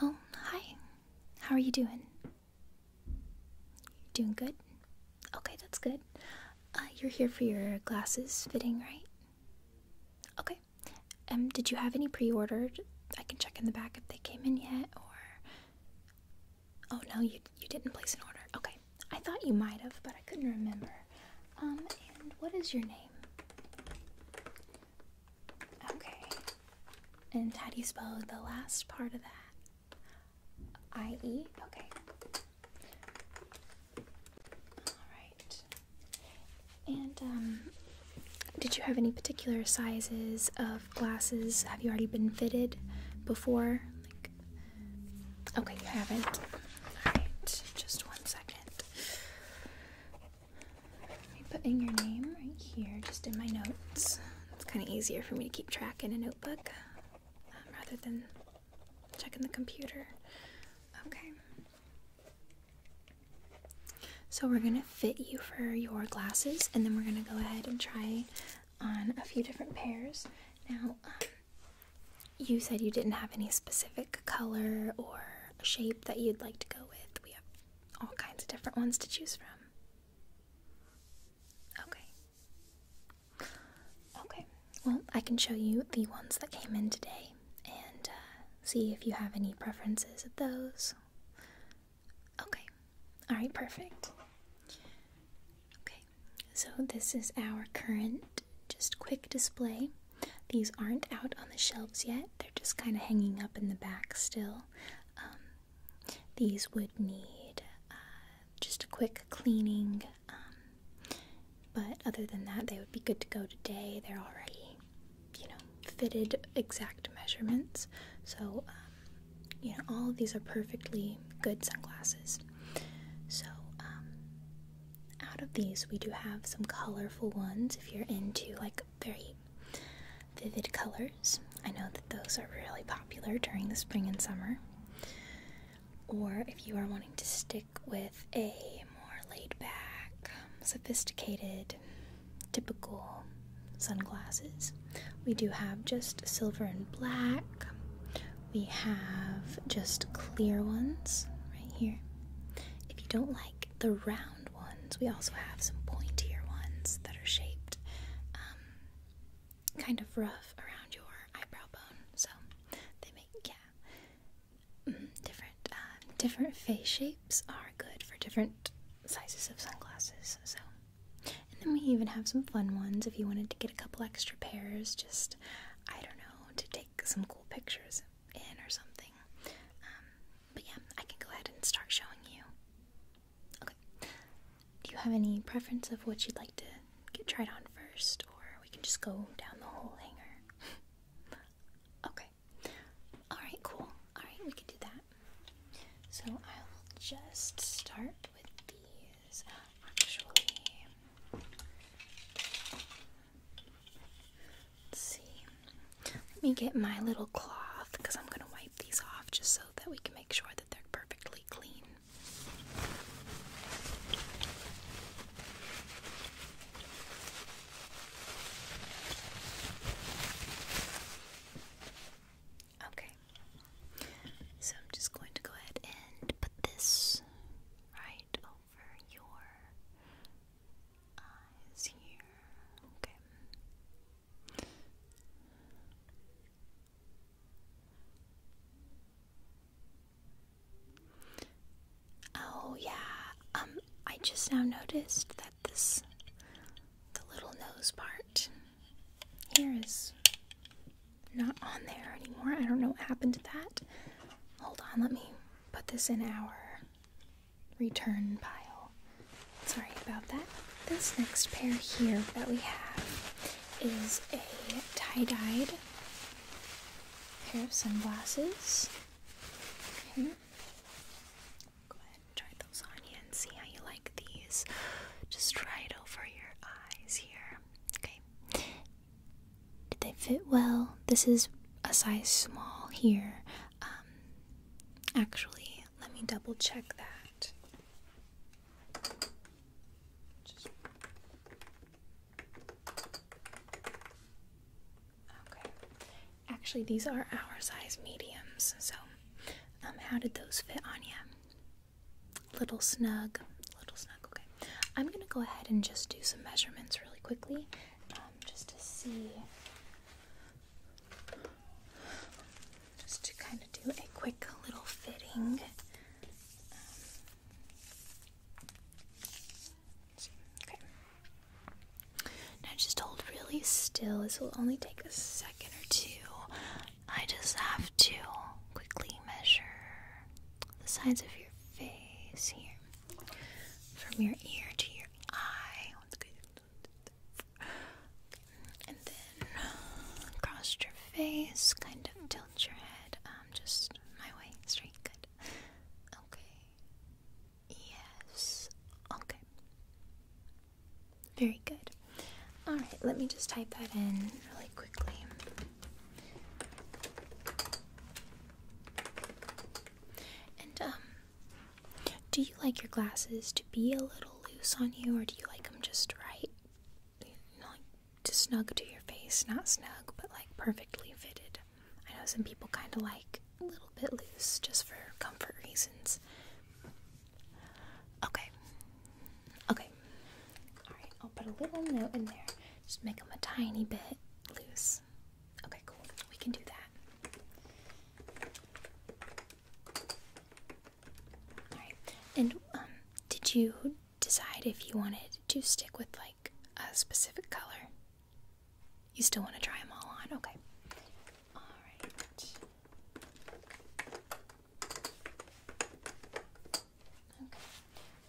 Oh, hi. How are you doing? Doing good? Okay, that's good. Uh, you're here for your glasses fitting, right? Okay. Um, did you have any pre-ordered? I can check in the back if they came in yet, or... Oh, no, you, you didn't place an order. Okay. I thought you might have, but I couldn't remember. Um, and what is your name? Okay. And how do you spell the last part of that? I E? Okay. Alright. And, um, did you have any particular sizes of glasses? Have you already been fitted before? Okay, you haven't. Alright, just one second. Let me put in your name right here, just in my notes. It's kind of easier for me to keep track in a notebook um, rather than checking the computer. Okay. So we're going to fit you for your glasses, and then we're going to go ahead and try on a few different pairs. Now, um, you said you didn't have any specific color or shape that you'd like to go with. We have all kinds of different ones to choose from. Okay. Okay. Well, I can show you the ones that came in today and uh, see if you have any preferences of those. Okay. All right, perfect. Okay so this is our current just quick display. These aren't out on the shelves yet, they're just kind of hanging up in the back still. Um, these would need uh, just a quick cleaning, um, but other than that, they would be good to go today. They're already, you know, fitted exact measurements, so um, you know, all these are perfectly good sunglasses. So, um, out of these, we do have some colorful ones if you're into like very vivid colors. I know that those are really popular during the spring and summer. Or if you are wanting to stick with a more laid back, sophisticated, typical sunglasses, we do have just silver and black, we have just clear ones right here. If you don't like the round ones, we also have some pointier ones that are shaped um, kind of rough around your eyebrow bone. So they make, yeah, mm-hmm, different, uh, different face shapes are good for different sizes of sunglasses. So and then we even have some fun ones if you wanted to get a couple extra pairs, just, I don't know, to take some cool pictures in or something. Um, but yeah, I can go ahead and start showing you. Okay. Do you have any preference of what you'd like to get tried on first, or we can just go down the whole hanger? okay. Alright, cool. Alright, we can do that. So I will just start with the let me get my little cloth because I'm going to wipe these off just so that we can make sure that they're perfectly clean. Okay. So I'm just going to go ahead and put this right over your eyes here. Okay. Oh yeah. Um I just now noticed that this the little nose part here is not on there anymore. I don't know what happened to that. Hold on, let me put this in our return pile. Sorry about that. This next pair here that we have is a tie-dyed pair of sunglasses. Go ahead try those on you and see how you like these. Just try it over your eyes. Okay. Did they fit well? This is a size small here. Um, actually, let me double check that. Okay. Actually, these are our size mediums. So, um, how did those fit on you? little snug, little snug. Okay, I'm gonna go ahead and just do some measurements really quickly, um, just to see, just to kind of do a quick little fitting. Um, okay. Now just hold really still. This will only take a second or two. I just have to quickly measure the sides of your face here. From your ear to your eye. And then across your face, kind of tilt your head um, just my way, straight, good. Okay. Yes. Okay. Very good. Alright, let me just type that in really quickly. And, um, do you like your glasses to be a little loose on you, or do you like them just right? You like, just snug to your face, not snug, but like perfectly fitted. I know some people kind of like a little bit loose just for comfort reasons. Okay. Okay. Alright, I'll put a little note in there. Just make them a tiny bit loose. Okay, cool. We can do that. Alright. And um did you decide if you wanted to stick with like a specific color? You still want to try them all on? Okay. Alright.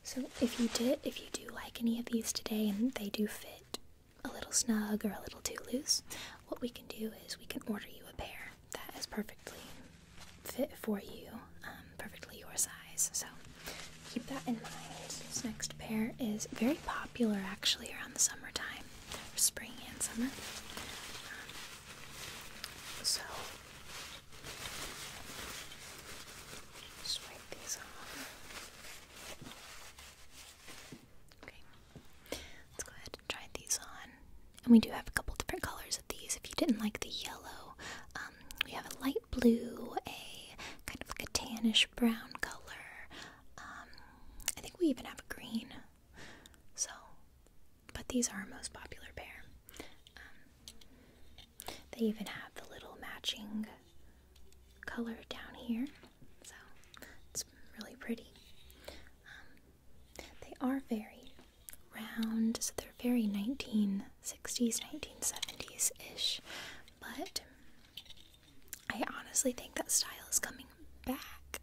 So if you did, if you do like any of these today and they do fit a little snug or a little too loose, what we can do is we can order you a pair that is perfectly fit for you, um, perfectly your size. So keep that in mind. This next pair is very popular actually around the summertime, spring and summer. Um, so swipe these off. Okay. Let's go ahead and try these on. And we do have a couple different colors of these. If you didn't like the yellow, um, we have a light blue, a kind of like a tannish brown color. Um, I think we even have a green. So, but these are our most popular pair. Um, they even have the little matching color down here, so it's really pretty. Um, they are very round, so they're very 1960s, 1970s ish, but I honestly think that style is coming back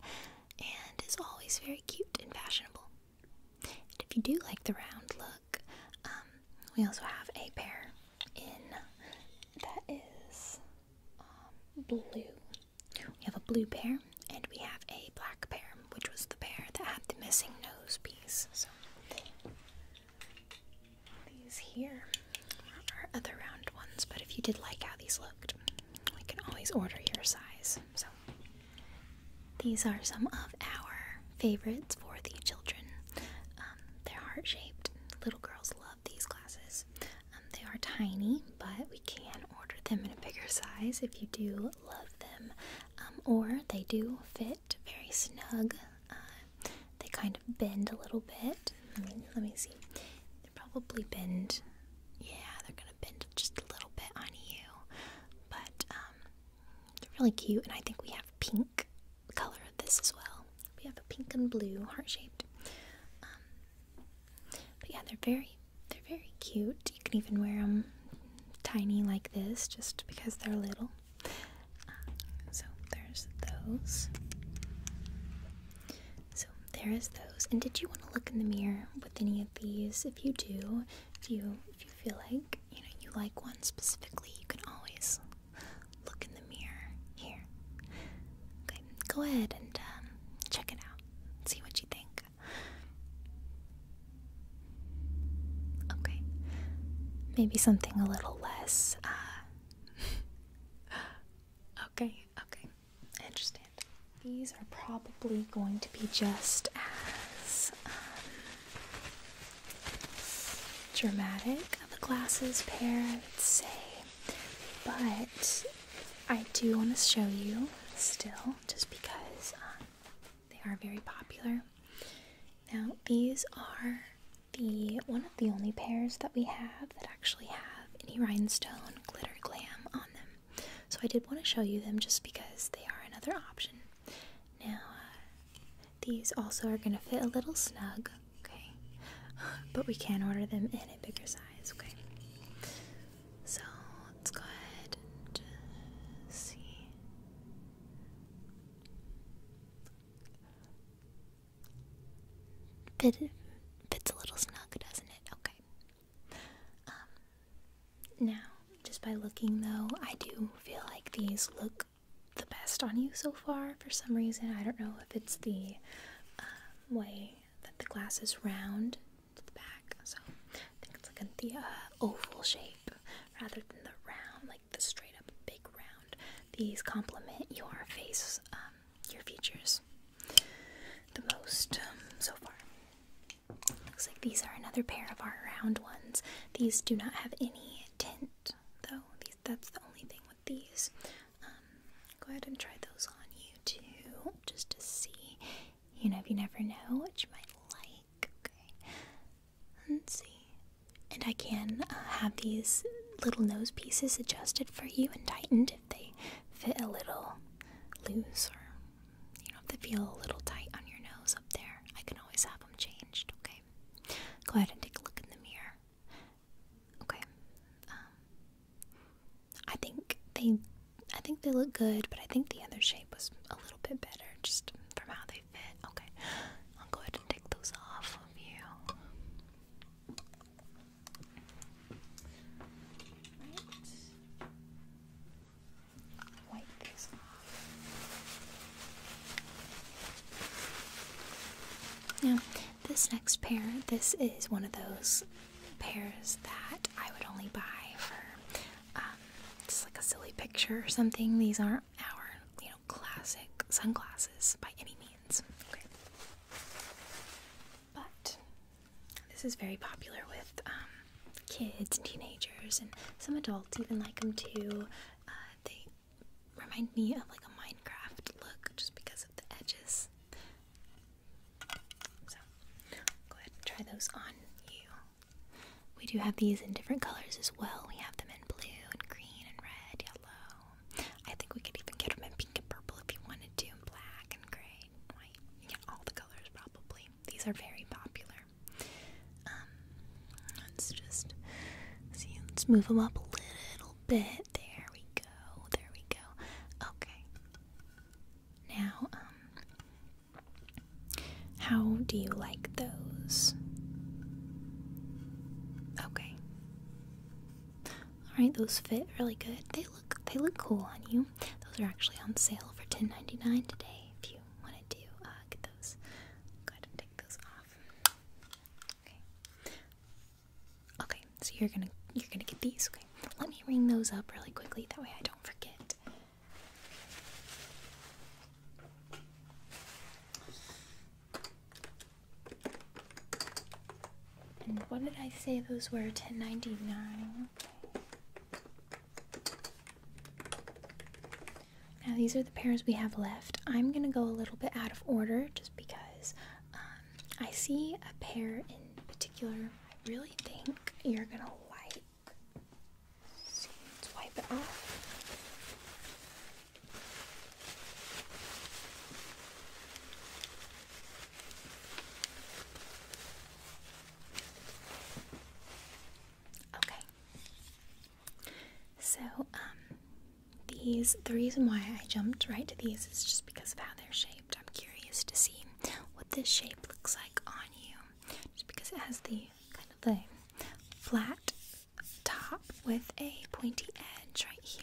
and is always very cute and fashionable. And if you do like the round look, um, we also have a pair in that is um, blue. We have a blue pair and we have a black pair, which was the pair that had the missing nose piece. So these here are other round ones, but if you did like how these looked, we can always order your size. So these are some of our favorites for the children. Um, they're heart shaped. Little girls love these glasses. Um, they are tiny, but we can order them in a bigger size if you do love them. Um, or they do fit very snug. Uh, they kind of bend a little bit. let me see. They are probably bent, Yeah, they're gonna bend just a little bit on you, but um, they're really cute. And I think we have pink color of this as well. We have a pink and blue heart shaped. Um, but yeah, they're very, they're very cute. You can even wear them tiny like this, just because they're little. Um, so there's those. So there is those. And did you want to look in the mirror with any of these? If you do, if you if you feel like you know you like one specifically, you can always look in the mirror here. Okay, go ahead and um, check it out. See what you think. Okay, maybe something a little less. Uh, okay, okay understand. These are probably going to be just as um, dramatic of a glasses pair, I would say. But I do want to show you still, just because um, they are very popular. Now, these are the one of the only pairs that we have that actually have any rhinestone glitter glam on them. So I did want to show you them just because they are another option. Now, uh, these also are going to fit a little snug, okay? But we can order them in a bigger size, okay? So let's go ahead and see. fits a little snug, doesn't it? Okay. Um, now, just by looking though, I do feel like these look the best on you so far for some reason. I don't know if it's the um, way that the glass is round to the back, so I think it's like in the uh, oval shape rather than the round, like the straight up big round. These complement your face um, your features the most um, so far. Looks like these are another pair of our round ones. These do not have any tint, though. that's the only thing with these. Um, go ahead and try those on you too, just to see. You know, if you never know what you might like. Okay. Let's see. And I can uh, have these little nose pieces adjusted for you and tightened they fit a little loose or you know if they feel a little tight on your nose up there. I can always have them changed. Okay, go ahead and take a look in the mirror. Okay, um, I think they I think they look good, but I think the other shape was a little bit better just from how they fit. Okay, I'll go ahead and take those off of you. Now, this next pair, this is one of those pairs that I would only buy for um, like a silly picture or something. These aren't our, you know, classic sunglasses by any means. But this is very popular with um, kids and teenagers, and some adults even like them too. Uh, they remind me of like a Minecraft look just because of the edges. So, go ahead and try those on you. We do have these in different colors as well. We have them in blue and green and red, yellow. I think we could even get them in pink and purple if you wanted to, and black and gray gray, white, yeah, all the colors probably. These are very popular. Um, let's just see, let's move them up a little bit. There we go, there we go. Okay. Now, um, how do you like those? Okay. Alright, those fit really good look they look cool on you. Those are actually on sale for $10.99 today. If you want to do, uh, get those. Go ahead and take those off. Okay. Okay. So you're gonna you're gonna get these. Okay. Let me ring those up really quickly. That way I don't forget. And what did I say those were? 1099. Now these are the pairs we have left. I'm gonna go a little bit out of order just because um, I see a pair in particular I really think you're gonna like. let's wipe it off. Okay. So, um, these, the reason why I jumped right to these is just because of how they're shaped. I'm curious to see what this shape looks like on you. Just because it has the kind of the flat top with a pointy edge right here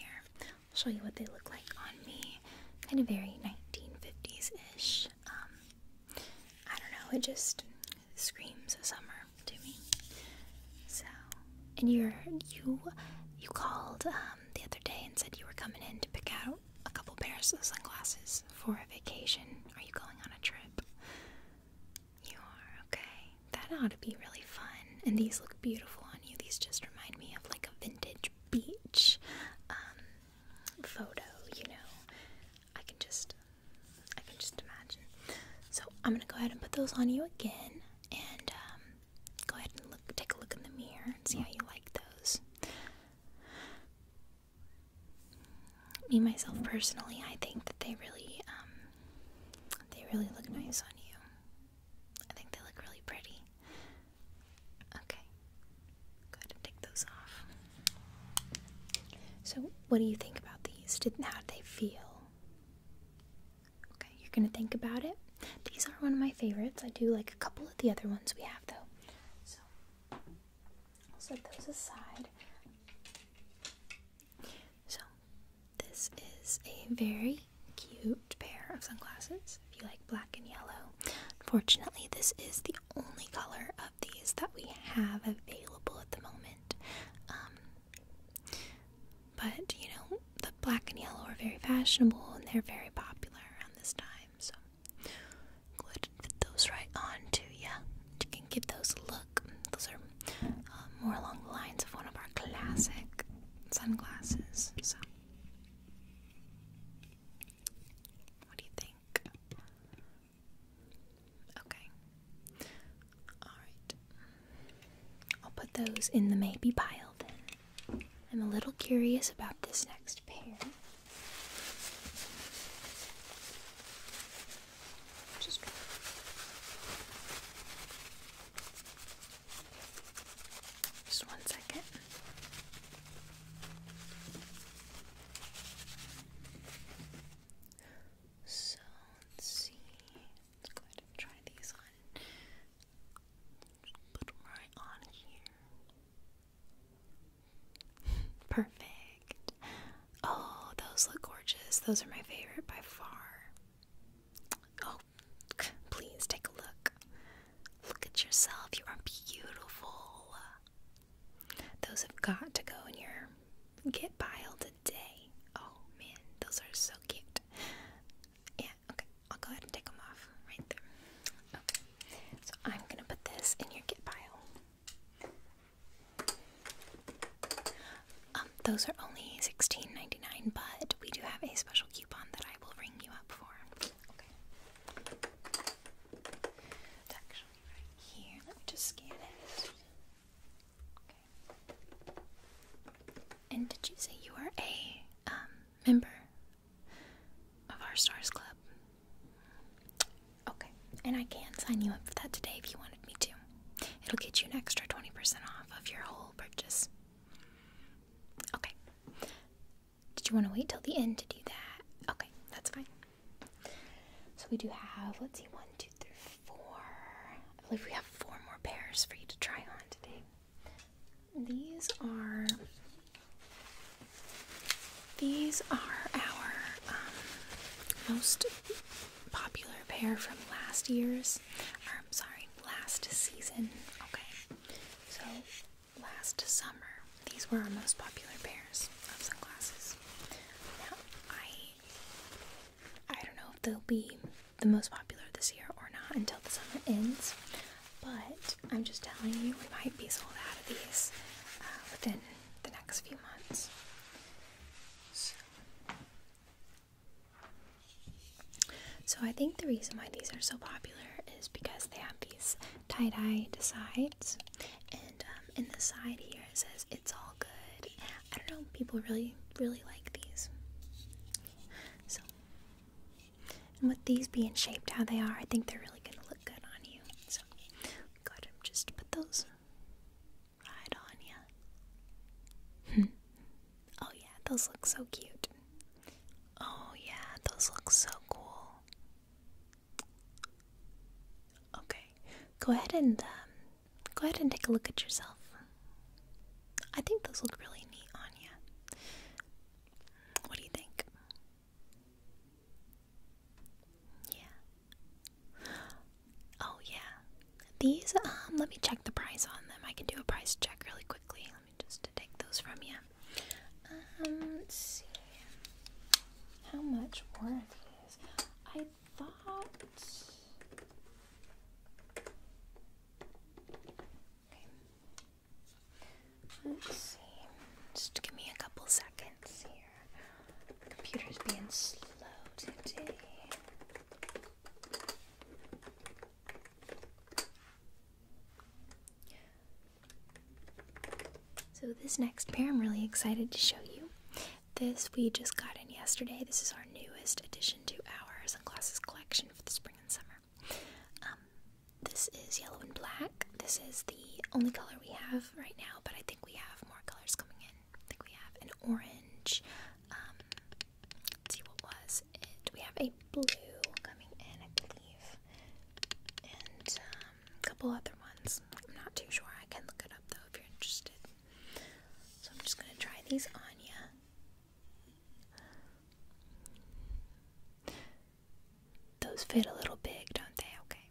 show you what they look like on me. Kind of very 1950s-ish. Um, I don't know, it just screams summer to me. So, and you're, you, you called um, the other day and said you were coming in to pick out a couple pairs of sunglasses for a vacation. Are you going on a trip? You are, okay. That ought to be really fun and these look beautiful on you. These just remind me of like a vintage beach um, photo, you know. I can just, I can just imagine. So I'm gonna go ahead and put those on you again, and um, go ahead and look, take a look in the mirror and see how you like those. Me myself personally, I think that they really, um, they really look nice on you. I think they look really pretty. Okay. Go ahead and take those off. So, what do you think about these? Did, how do they feel? Okay, you're gonna think about it. These are one of my favorites. I do like a couple of the other ones we have though. So, I'll set those aside. So, this is a very cute pair of sunglasses if you like black and yellow. Unfortunately, this is the only color of these that we have available at the moment. Um, but you know, the black and yellow are very fashionable and they're very popular around this time. So, go ahead and fit those right on to you. You can give those a look. Those are uh, more along the lines of one of our classic sunglasses, so. What do you think? Okay. Alright. I'll put those in the maybe pile then. I'm a little curious about this next pair. Just just one second. So let's see. Let's go ahead and try these on. Put them right on here. Perfect. Oh, those look gorgeous. Those are my favorite by far. Oh, please take a look. Look at yourself. You are beautiful. Those have got to go in your get pile today. Oh man, those are so cute. Yeah, okay. I'll go ahead and take them off right there. Okay. So I'm gonna put this in your get pile. Um, those are only $16.99, but we do have a special coupon that I will ring you up for. Okay. It's actually right here. Let me just scan it. Okay. And did you say you are a um, member of our Stars Club? Okay. And I can sign you up for that today if you wanted me to. It'll get you an extra 20% off of your whole purchase. Okay. Did you want to wait till the end to do that? Okay, that's fine. So we do have, let's see, one, two, three, four. I believe we have four more pairs for you to try on today. These are these are our um, most popular pair from last year's sorry, last season. Okay, so last summer, these were our most popular pairs of sunglasses. Now, I I don't know if they'll be the most popular this year or not until the summer ends, but I'm just telling you, we might be sold out of these uh, within the next few months. So I think the reason why these are so popular is because they have these tie-dye sides. And um, in the side here it says, it's all good. I don't know, people really, really like these. So, with these being shaped how they are, I think they're really going to look good on you. So, gotta just put those right on you. Oh, yeah, those look so cute. Oh, yeah, those look so cool. Okay, go ahead and um, go ahead and take a look at yourself. I think those look really neat on you. What do you think? Yeah. Oh yeah. These, um, let me check the price on them. I can do a price check really quickly. Let me just take those from you. Um, let's see. How much worth is. I thought. Let's see. Just give me a couple seconds here. computer's being slow today. So, this next pair I'm really excited to show you. This we just got in yesterday. This is our newest addition to our sunglasses collection for the spring and summer. Um, this is yellow and black. This is the only color we have right now, but I think we have more colors coming in. I think we have an orange. Um, see what was it. We have a blue coming in, I believe, and um, a couple other ones. I'm not too sure. I can look it up though if you're interested. So I'm just gonna try these on Yeah, Those fit a little big, don't they? Okay.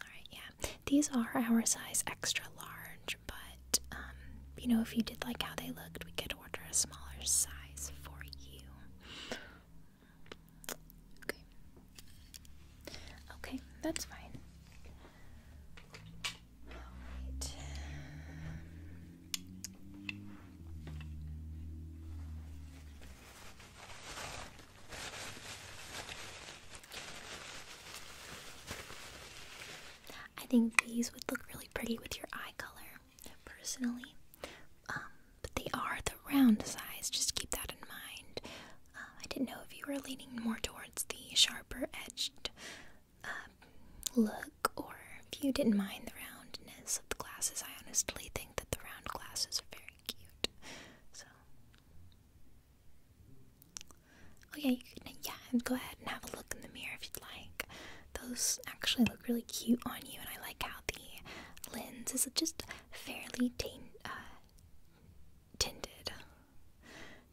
Alright, yeah. These are our size extra large but um, you know, if you did like how they looked, we could order a smaller size for you. Okay. Okay, that's fine. Alright. I think these would look really pretty with your eye color, personally. Um, but they are the round size, just keep that in mind. Uh, I didn't know if you were leaning more towards the sharper edged um, look or if you didn't mind the roundness of the glasses. I honestly think that the round glasses are very cute. So, Oh yeah, you can, go ahead and have a look in the mirror if you'd like. Those actually look really cute on you, and I like how the lens is just fairly uh, tinted.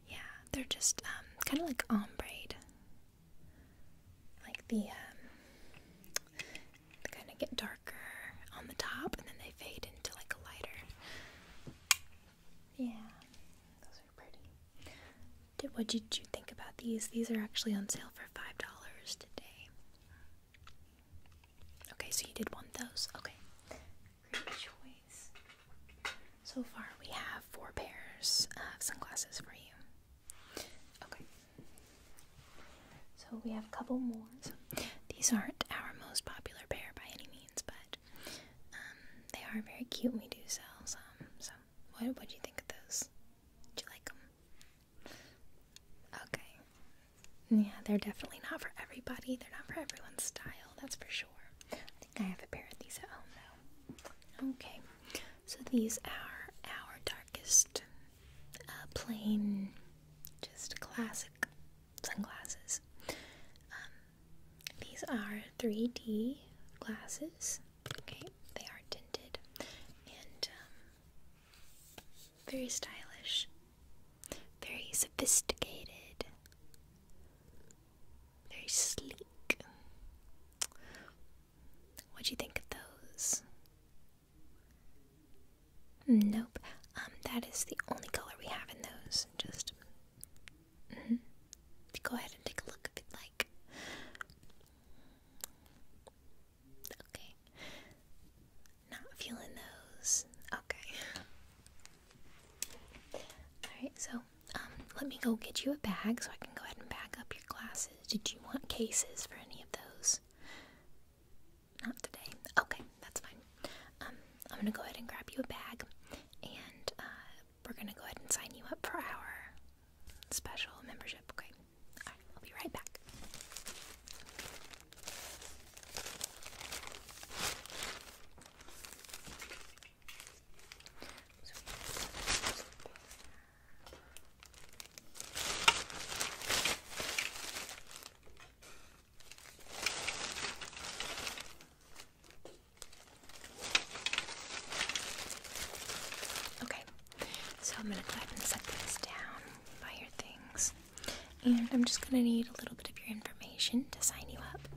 Yeah, they're just um, kind of like ombre. Like the, um, they kind of get darker on the top, and then they fade into like a lighter yeah, those are pretty. Did, what did you think about these? These are actually on sale for $5 today. Okay, so you did want those. Okay, great choice. So far, we have four pairs of sunglasses for you. Okay, so we have a couple more. these aren't our most popular pair by any means, but um, they are very cute. We do sell So, what do you think of those? Do you like them? Okay. Yeah, they're definitely not for everybody. They're not for everyone's style. That's for sure. I think I have a pair of these at home though. Okay. So these are our darkest, uh, plain, just classic sunglasses. Um, these are 3D glasses. Okay, they are tinted and um, very stylish, very sophisticated, very sleek. What do you think of those? Nope. Um, that is the only color we have in those. Just Mm-hmm. Go ahead and take a look if you'd like. Okay. Not feeling those. Okay. Alright, so um, let me go get you a bag so I can go ahead and bag up your glasses. Did you want cases for any of those? Not today. Okay, that's fine. Um, I'm gonna go ahead and grab you a bag, and uh, we're gonna go ahead and sign you up for our special membership. Okay, right, I'll be right back. Okay, so I'm gonna go ahead and set this down by your things. And I'm just gonna need a little bit of your information to sign you up.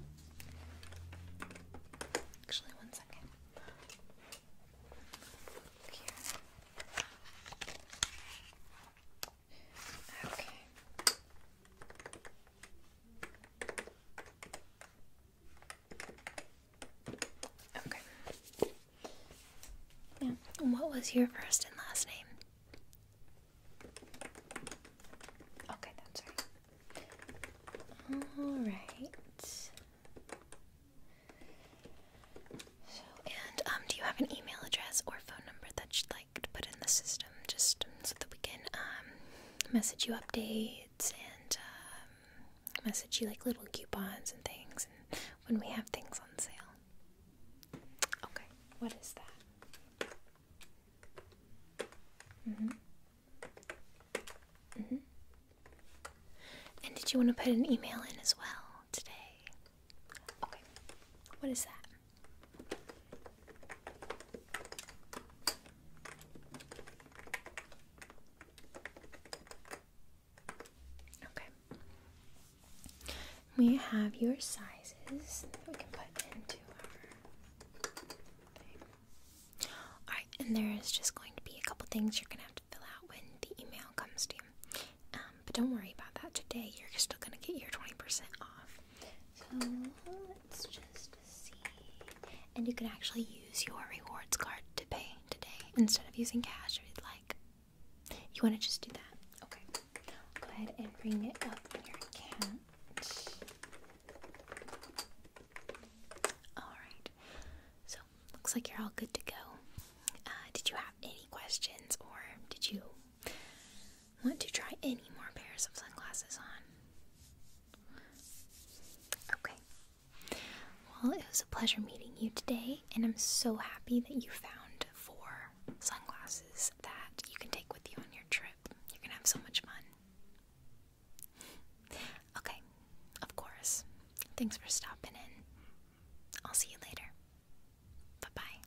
Actually, one second. Okay. Okay. Yeah. And what was your first and last name? Okay, that's right. All right. So, and um, do you have an email address or phone number that you'd to put in the system just so that we can um, message you updates and um, message you like little coupons and things and when we have things on sale. Okay, what is that? Mm-hmm. Mm-hmm. And did you want to put an email in as well today? Okay. What is that? Okay. We have your sizes we can put into our Alright, and there is just going to be a couple things you're going to have to fill out when the email comes to you. Um, but don't worry about that today. You're still going to get your 20% off. So and you can actually use your rewards card to pay today instead of using cash if you'd like. You want to just do that? Okay. Go ahead and bring it up on your account. Alright. So, looks like you're all good to go. Uh, did you have any questions or did you want to try any more pairs of sunglasses on. Okay. Well, it was a pleasure meeting you today, and I'm so happy that you found four sunglasses that you can take with you on your trip. You're gonna have so much fun. Okay, of course. Thanks for stopping in. I'll see you later. Bye bye.